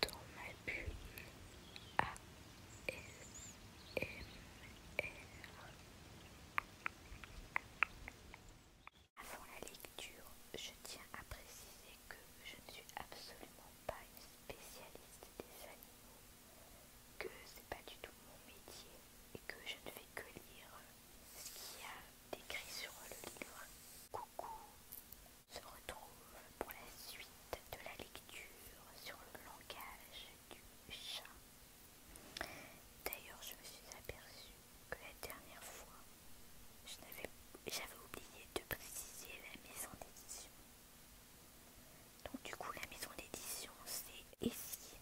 dans ma bulle R Avant la lecture, je tiens à préciser que je ne suis absolument pas une spécialiste des animaux, que c'est pas du tout mon métier et que je ne fais que lire ce qu'il y a d'écrit sur le livre. Coucou se retrouve pour la suite de la lecture sur le langage du chat. D'ailleurs, je me suis aperçue que la dernière fois, j'avais oublié de préciser la maison d'édition. Donc du coup, la maison d'édition, c'est ici.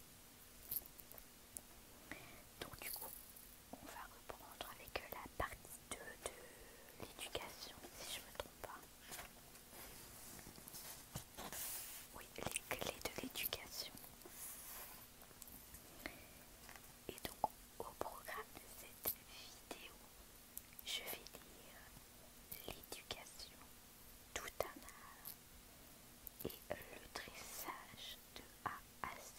Donc du coup, on va reprendre avec euh, la partie 2 de l'éducation, si je ne me trompe pas. Oui, les clés de l'éducation. Et donc, au programme de cette vidéo, je vais lire l'éducation, tout un art et le dressage de A à Z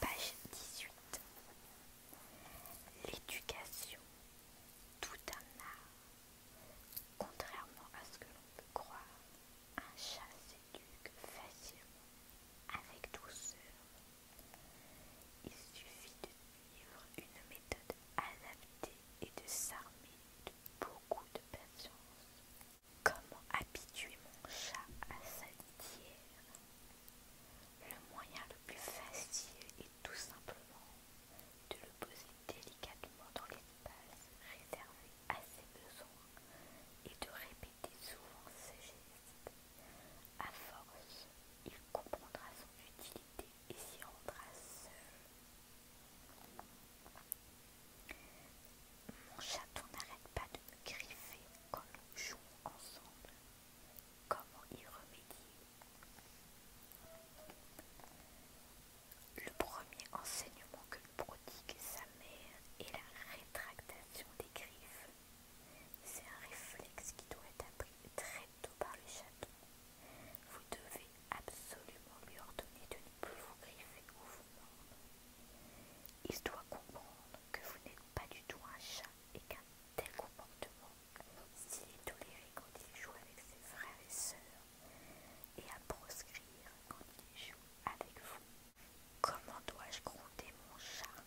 Page 18. L'éducation tout un art. Contrairement à ce que l'on peut croire, un chat s'éduque facilement, avec douceur. Il suffit de suivre une méthode adaptée et de s'armer de beaucoup de patience. Comment habituer mon chat à sa litière Le moyen le plus facile tout simplement de le poser délicatement dans l'espace réservé à ses besoins et de répéter souvent ses gestes. À force, il comprendra son utilité et s'y rendra seul. Mon chaton n'arrête pas de me griffer quand nous jouons ensemble. Comment y remédier le premier enseignement que nous prodigue sa mère est la rétractation des griffes. C'est un réflexe qui doit être appris très tôt par le chaton. Vous devez absolument lui ordonner de ne plus vous griffer ou vous mordre. Il doit comprendre que vous n'êtes pas du tout un chat et qu'un tel comportement s'il est toléré quand il joue avec ses frères et sœurs, et à proscrire quand il joue avec vous. Comment dois-je gronder mon chat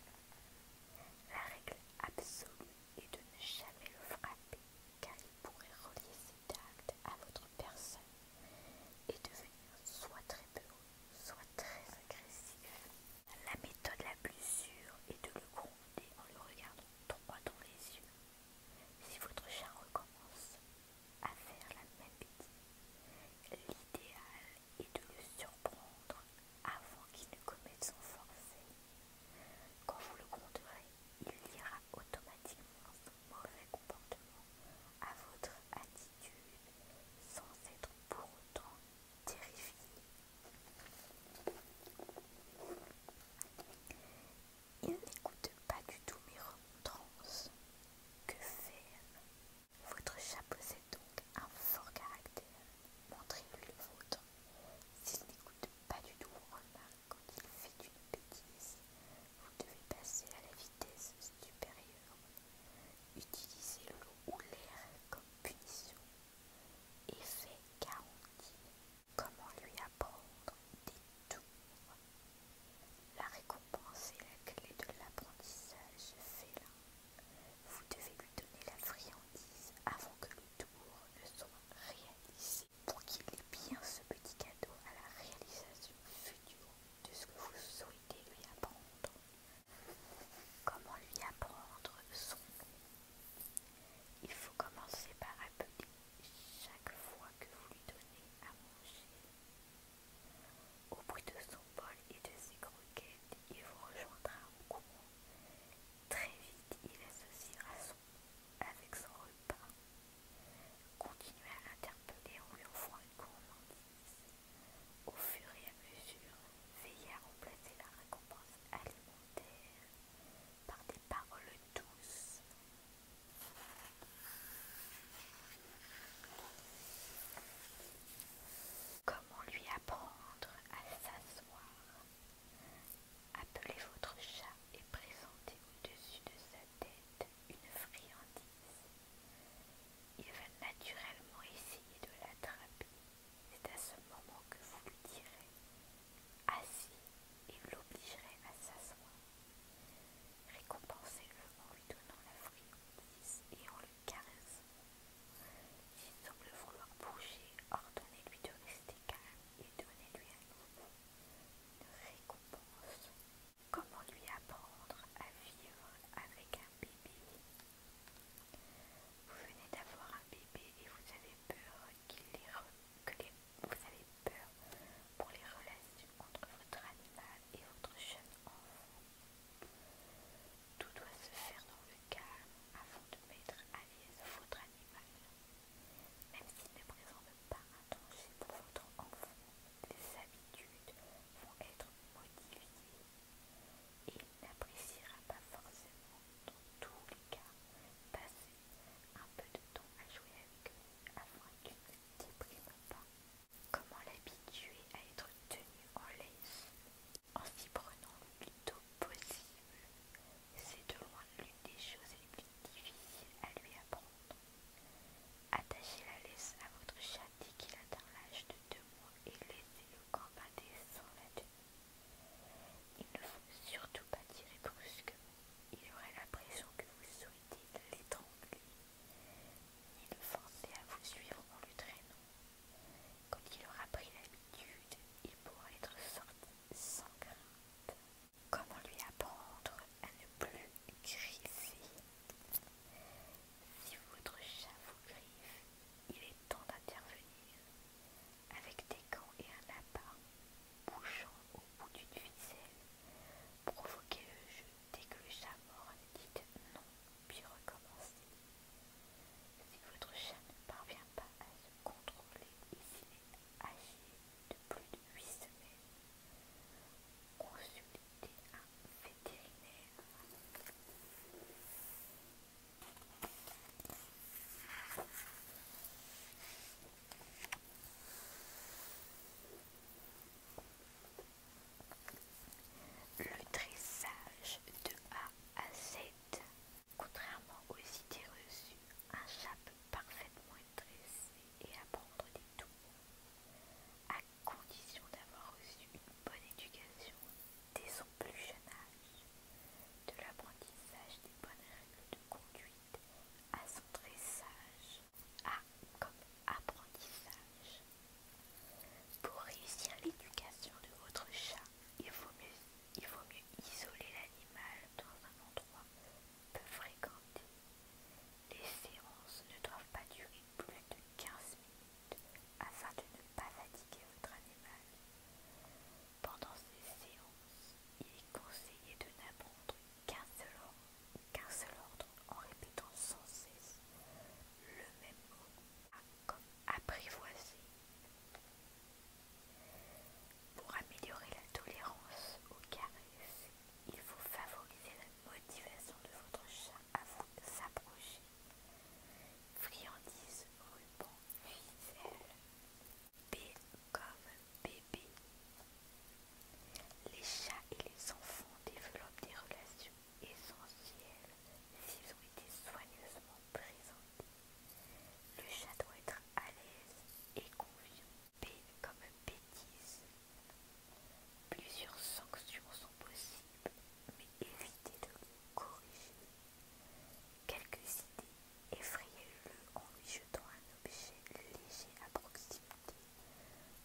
La règle absolue est de ne jamais le frapper, car il pourrait relier cet acte à votre personne et devenir soit très peureux, soit très agressif. La méthode la plus sûre est de le gronder en le regardant droit dans les yeux si votre chat recommence à faire la même bêtise, l'idéal est de le surprendre avant qu'il ne commette son forfait. Quand vous le compterez, il lira automatiquement son mauvais comportement à votre attitude sans être pour autant terrifié. Il n'écoute pas du tout mes remontrances. Que faire Votre chapeau possède donc un fort caractère. Montrez-lui le vôtre. S'il n'écoute pas du tout vos remarques quand il fait une bêtise, vous devez passer à la vitesse supérieure. Utilisez l'eau ou l'air comme punition. Effet garantie comment lui apprendre des tours. La récompense est la clé de l'apprentissage félin. Vous devez lui donner la friandise avant que le tour ne soit réalisé pour qu'il ait bien ce petit cadeau à la réalisation future de ce que vous souhaitez lui apprendre. Comment lui apprendre son nom il faut commencer par appeler chaque fois que vous lui donnez à manger. Au bruit de son bol et de ses croquettes, il vous rejoindra en courant. Très vite, il associera son avec son repas. Continuez à l'interpeller en lui offrant une gourmandise. Au fur et à mesure, veillez à remplacer la récompense alimentaire par des paroles douces. Comment lui apprendre à s'asseoir Appelez votre chat et présentez au-dessus de sa tête une friandise. Il va naturellement essayer de l'attraper. C'est à ce moment que vous lui direz Assis, il l'obligerait à s'asseoir. Récompensez-le en lui donnant la friandise et en le caressant. S'il semble vouloir bouger, ordonnez-lui de rester calme et donnez-lui à nouveau une récompense. Comment lui apprendre à vivre avec un bébé Vous venez d'avoir un bébé et vous avez peur qu'il les que vous avez peur pour les relations entre votre animal et votre jeune enfant. Tout doit se faire dans le calme avant de mettre à l'aise votre animal. Même s'il ne présente pas un danger pour votre enfant, les habitudes vont être modifiées et il n'appréciera pas forcément dans tous les cas, passez un peu de temps à jouer avec lui afin qu'il ne déprime pas. Comment l'habituer à être tenu en laisse En s'y prenant le plus tôt possible, c'est de loin l'une des choses les plus difficiles à lui apprendre. Attachez la laisse à votre chat dès qu'il atteint l'âge de deux mois et laissez-le combattre sans la tenue. Il ne faut surtout pas tirer brusquement. Il aurait l'impression que vous souhaitez l'étrangler, ni le forcer à vous suivre en le traînant. Quand il aura pris l'habitude, il pourra être sorti sans crainte. Comment lui apprendre à ne plus griffer Si votre chat vous griffe, il est temps d'intervenir. Avec des et un lapin bouchant au bout d'une ficelle, provoquez le jeu dès que le chat mort Dites dit non, puis recommencez. Si votre chat ne parvient pas à se contrôler et s'il est âgé de plus de 8 semaines, consultez un vétérinaire. Le dressage de A à Z. Contrairement aux idées reçues, un chat parfaitement dressé et apprendre des tours, à condition d'avoir reçu une bonne éducation dès son plus jeune âge de l'apprentissage des bonnes règles de conduite à son dressage. A comme apprentissage. Pour réussir l'éducation de votre chat, il vaut mieux, il vaut mieux isoler l'animal dans un endroit peu fréquenté. Les séances ne doivent pas durer plus de 15 minutes afin de ne pas fatiguer votre animal. Pendant ces séances, il est conseillé de n'apprendre qu'un seul, ordre en répétant sans cesse le même mot, comme apprivoiser. Pour améliorer la tolérance au caresses, il faut favoriser la motivation de votre chat à vous s'approcher. Friandise, ruban, ficelle, B comme bébé. Les chats et les enfants développent des relations essentielles s'ils ont été soigneusement présentés. Le chat doit être à l'aise et confiant. B comme bêtise. Plusieurs sanctions sont possibles, mais évitez de les corriger. Quelques idées effrayez le en lui jetant un objet léger à proximité,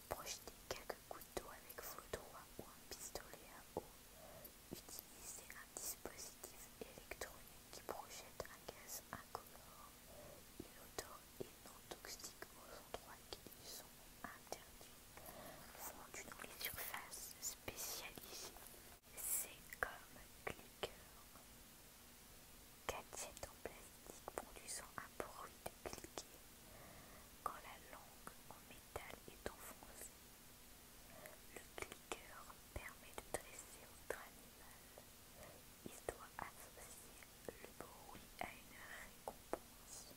projeter quelques d'eau avec feu droit ou un pistolet à eau, utiliser un dispositif électronique qui projette un gaz incolore, inodore et non toxique aux endroits qui lui sont interdits, font dans les surfaces spécialisées. C'est comme cliqueur. Gadget en plastique produisant un bruit de cliquet quand la langue en métal est enfoncée. Le cliqueur permet de dresser votre animal. Il doit associer le bruit à une récompense.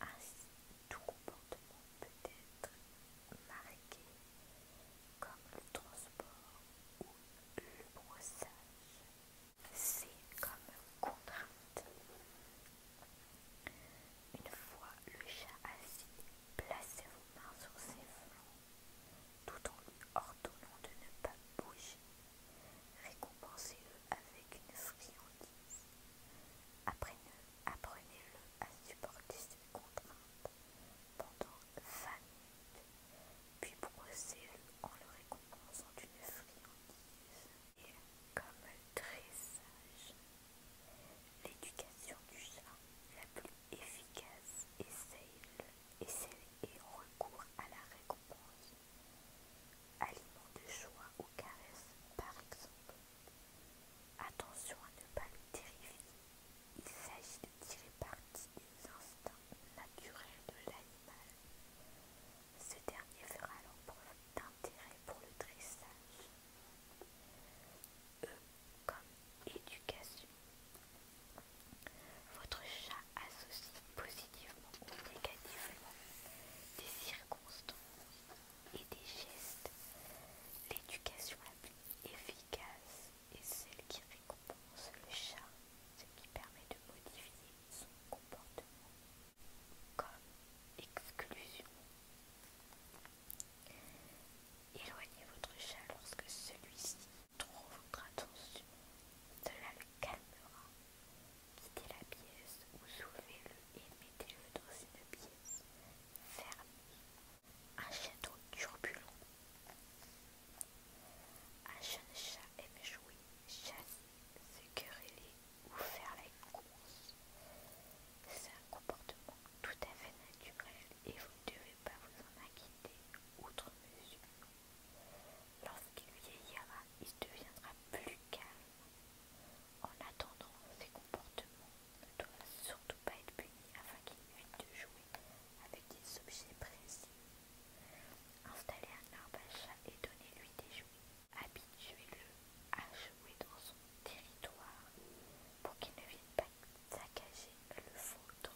Ainsi, tout comportement peut être marqué comme le transport ou le brossage. C'est comme contrainte. Une fois le chat assis, placez vos mains sur ses flancs tout en lui ordonnant de ne pas bouger. Récompensez-le avec une friandise. Apprenez-le à supporter cette contrainte pendant 20 puis brossez en le récompensant d'une friandise. Et comme très sage, l'éducation du chat la plus efficace est celle, et celle recours à la récompense. aliment de joie ou caresses, par exemple. Attention à ne pas le terrifier. Il s'agit de tirer parti des instincts naturels de l'animal. Ce dernier fera alors preuve d'intérêt pour le dressage. E comme éducation. Votre chat associe positivement ou négativement des circonstances et des gestes. L'éducation la plus efficace et celle qui récompense le chat, ce qui permet de modifier son comportement comme exclusion. Éloignez votre chat lorsque celui-ci trouve votre attention. Cela le calmera. Quittez la pièce ou soulevez-le et mettez-le dans une pièce fermée un château turbulent. Un jeune chat aime jouer, chasser, se quereller ou faire la course. C'est un comportement tout à fait naturel et vous ne devez pas vous en inquiéter outre mesure. Lorsqu'il vieillira, il deviendra plus calme. En attendant, ses comportements ne doit surtout pas être puni afin qu'il évite de jouer avec des objets précis. Installez un arbre à chat et donnez-lui des jouets. Habituez-le à jouer dans son territoire pour qu'il ne vienne pas saccager le vôtre.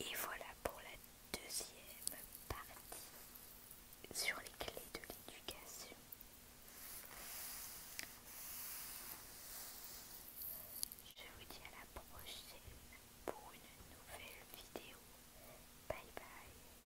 Et voilà pour la deuxième partie sur les clés de l'éducation. Je vous dis à la prochaine pour une nouvelle vidéo. Bye bye.